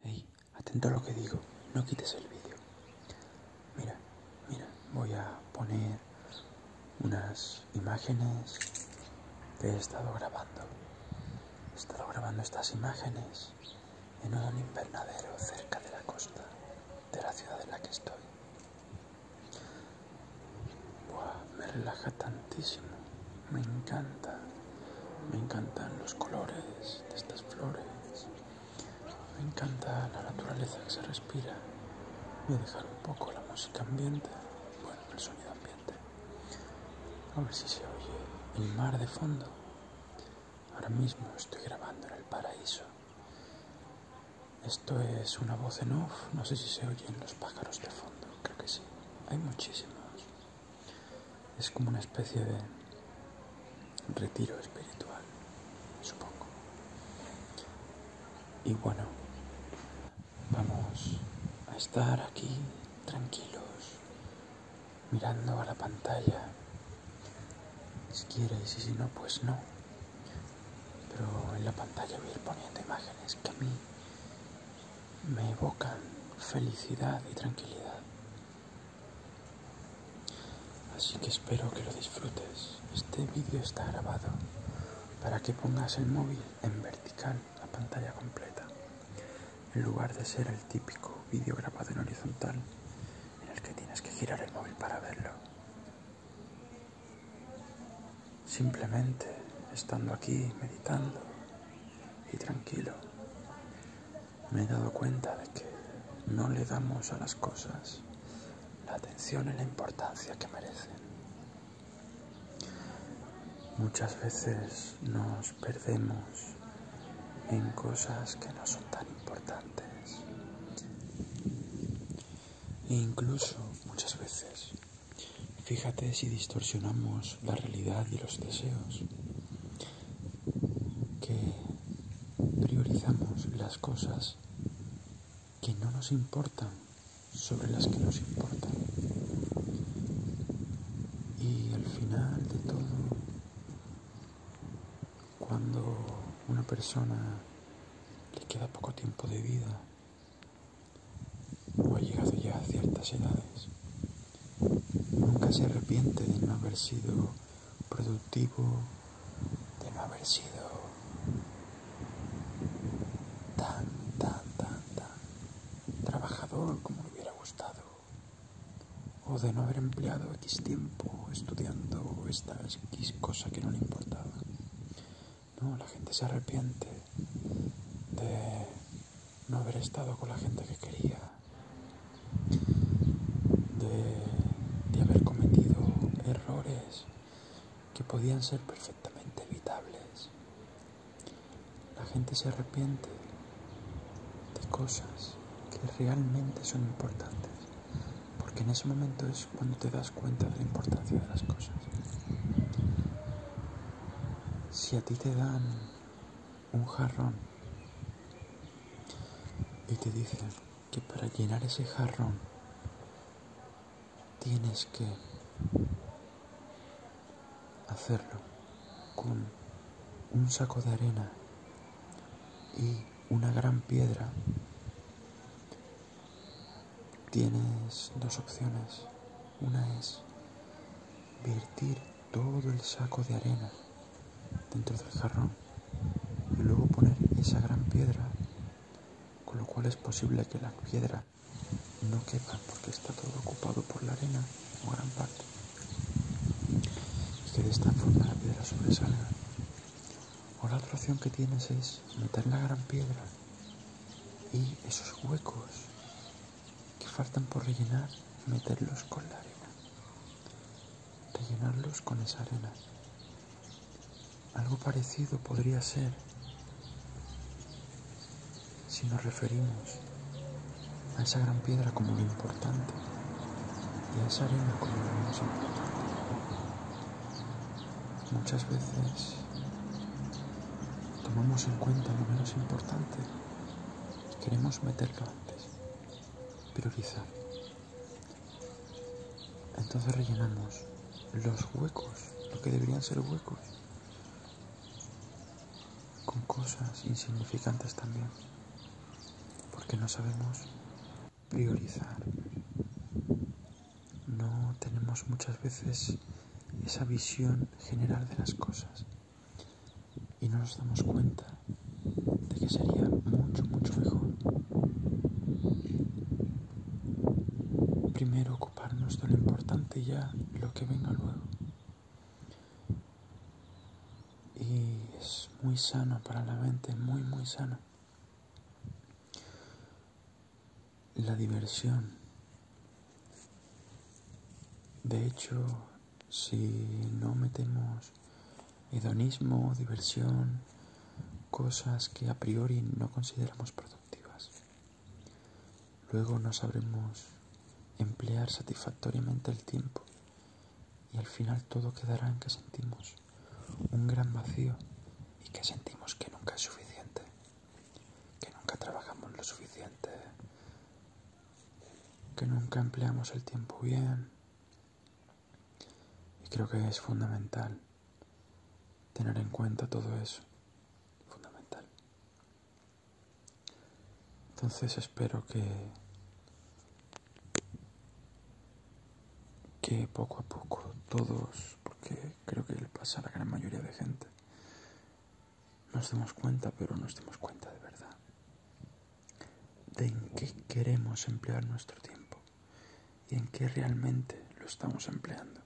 Hey, atento a lo que digo, no quites el vídeo. Mira, mira, voy a poner unas imágenes que he estado grabando. He estado grabando estas imágenes en un invernadero cerca de la costa de la ciudad en la que estoy. Buah, me relaja tantísimo, me encanta. Me encantan los colores de estas flores. Me encanta la naturaleza que se respira. Voy a dejar un poco la música ambiente, bueno, el sonido ambiente. A ver si se oye el mar de fondo. Ahora mismo estoy grabando en el paraíso. Esto es una voz en off, no sé si se oyen los pájaros de fondo, creo que sí. Hay muchísimos. Es como una especie de retiro espiritual, supongo. Y bueno, vamos a estar aquí tranquilos, mirando a la pantalla, si quieres y si no, pues no. Pero en la pantalla voy a ir poniendo imágenes que a mí me evocan felicidad y tranquilidad. Así que espero que lo disfrutes. Este vídeo está grabado para que pongas el móvil en vertical, la pantalla completa, en lugar de ser el típico vídeo grabado en horizontal en el que tienes que girar el móvil para verlo. Simplemente estando aquí meditando y tranquilo, me he dado cuenta de que no le damos a las cosas la atención y la importancia que merecen. Muchas veces nos perdemos en cosas que no son tan importantes. E incluso muchas veces, fíjate si distorsionamos la realidad y los deseos que priorizamos las cosas que no nos importan sobre las que nos importan. Y al final de todo, cuando una persona le queda poco tiempo de vida o ha llegado ya a ciertas edades, Nunca se arrepiente de no haber sido productivo, de no haber sido tan, tan, tan, tan trabajador como le hubiera gustado, o de no haber empleado X tiempo estudiando estas X cosa que no le importaba. No, la gente se arrepiente de no haber estado con la gente que quería, de, haber cometido errores que podían ser perfectamente evitables. La gente se arrepiente de cosas que realmente son importantes, porque en ese momento es cuando te das cuenta de la importancia de las cosas. Si a ti te dan un jarrón y te dicen que para llenar ese jarrón tienes que hacerlo con un saco de arena y una gran piedra, tienes dos opciones. Una es vertir todo el saco de arena dentro del jarrón y luego poner esa gran piedra, con lo cual es posible que la piedra no quepa porque está todo ocupado por la arena o gran parte. Y que de esta forma la piedra sobresalga. O la otra opción que tienes es meter la gran piedra y esos huecos que faltan por rellenar, meterlos con la arena rellenarlos llenarlos con esa arena. Algo parecido podría ser si nos referimos a esa gran piedra como lo importante y a esa arena como lo menos importante. Muchas veces tomamos en cuenta lo menos importante y queremos meterlo antes priorizar. Entonces rellenamos los huecos, lo que deberían ser huecos, con cosas insignificantes también, porque no sabemos priorizar. No tenemos muchas veces esa visión general de las cosas y no nos damos cuenta de que sería mucho, mucho mejor primero ocuparnos de lo importante ya lo que venga luego. Y es muy sano para la mente, muy, muy sano. La diversión. De hecho, si no metemos hedonismo, diversión, cosas que a priori no consideramos productivas. Luego no sabremos emplear satisfactoriamente el tiempo y al final todo quedará en que sentimos un gran vacío y que sentimos que nunca es suficiente, que nunca trabajamos lo suficiente, que nunca empleamos el tiempo bien, y creo que es fundamental tener en cuenta todo eso. Fundamental. Entonces espero que que poco a poco todos, porque creo que le pasa a la gran mayoría de gente, nos demos cuenta, pero nos demos cuenta de verdad de en qué queremos emplear nuestro tiempo y en qué realmente lo estamos empleando.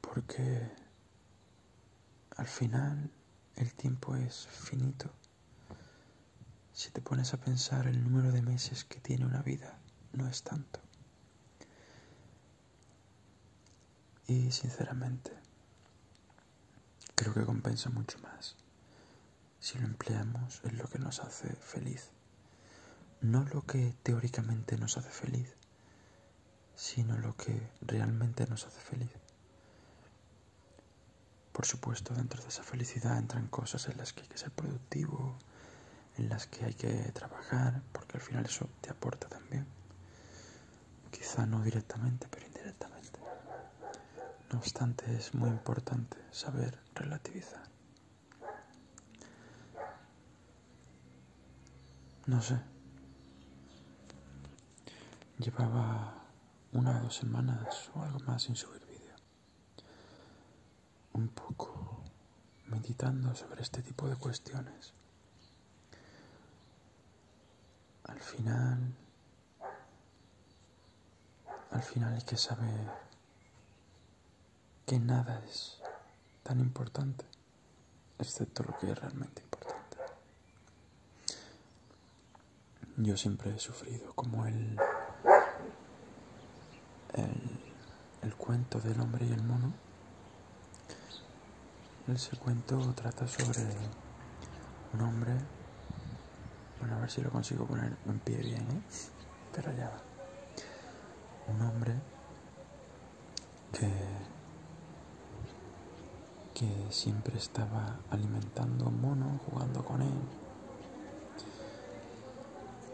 Porque al final el tiempo es finito. Si te pones a pensar el número de meses que tiene una vida, no es tanto. Y sinceramente, creo que compensa mucho más si lo empleamos en lo que nos hace feliz. No lo que teóricamente nos hace feliz, sino lo que realmente nos hace feliz. Por supuesto, dentro de esa felicidad entran cosas en las que hay que ser productivo, en las que hay que trabajar, porque al final eso te aporta también quizá no directamente, pero indirectamente. No obstante, es muy importante saber relativizar. No sé. Llevaba una o dos semanas o algo más sin subir vídeo. Un poco meditando sobre este tipo de cuestiones al final, al final hay que saber que nada es tan importante, excepto lo que es realmente importante. Yo siempre he sufrido como el, el cuento del hombre y el mono ese cuento trata sobre un hombre. Bueno, a ver si lo consigo poner en pie bien, ¿eh? Pero ya va. Un hombre que. que siempre estaba alimentando un mono, jugando con él.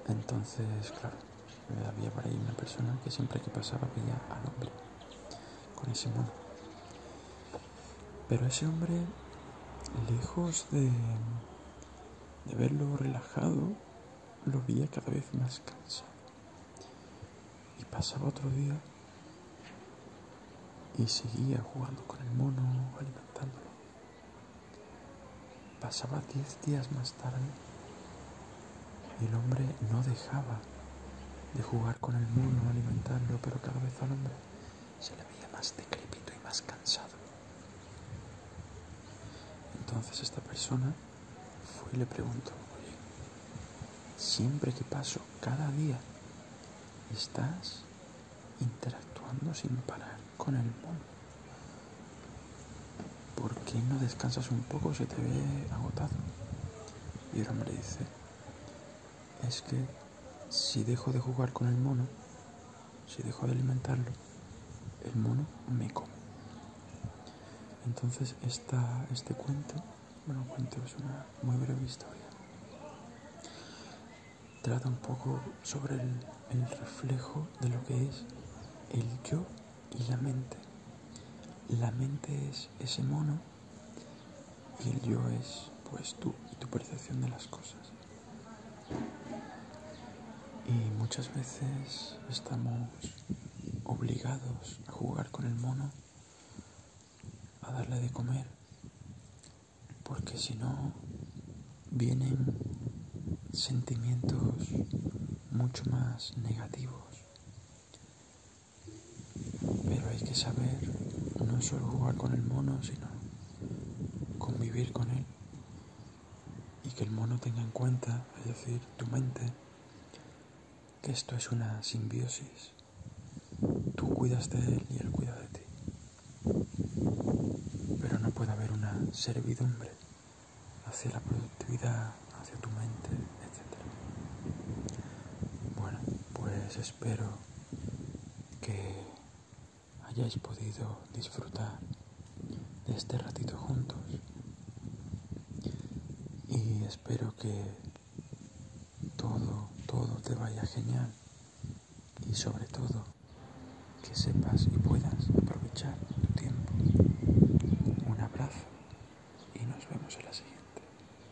Entonces, claro, había por ahí una persona que siempre que pasaba veía al hombre con ese mono. Pero ese hombre, lejos de, verlo relajado, lo veía cada vez más cansado. Y pasaba otro día y seguía jugando con el mono, alimentándolo. Pasaba diez días más tarde y el hombre no dejaba de jugar con el mono, alimentarlo, pero cada vez al hombre se le veía más decrepito y más cansado. Entonces esta persona fue y le preguntó, oye, siempre que paso, cada día, estás interactuando sin parar con el mono. ¿Por qué no descansas un poco? Se te ve agotado. Y el hombre dice, es que si dejo de jugar con el mono, si dejo de alimentarlo, el mono me come. Entonces está este cuento, bueno, cuento es una muy breve historia, trata un poco sobre el reflejo de lo que es el yo y la mente. La mente es ese mono y el yo es, pues, tú y tu percepción de las cosas. Y muchas veces estamos obligados a jugar con el mono, a darle de comer, porque si no vienen sentimientos mucho más negativos pero hay que saber no solo jugar con el mono, sino convivir con él. Y que el mono tenga en cuenta, es decir, tu mente, que esto es una simbiosis. Tú cuidas de él y él cuida de ti. Pero no puede haber una servidumbre hacia la productividad, hacia tu mente, etc. Bueno, pues espero que hayáis podido disfrutar de este ratito juntos y espero que todo, todo te vaya genial y sobre todo que sepas y puedas aprovechar tu tiempo. Un abrazo y nos vemos en la siguiente.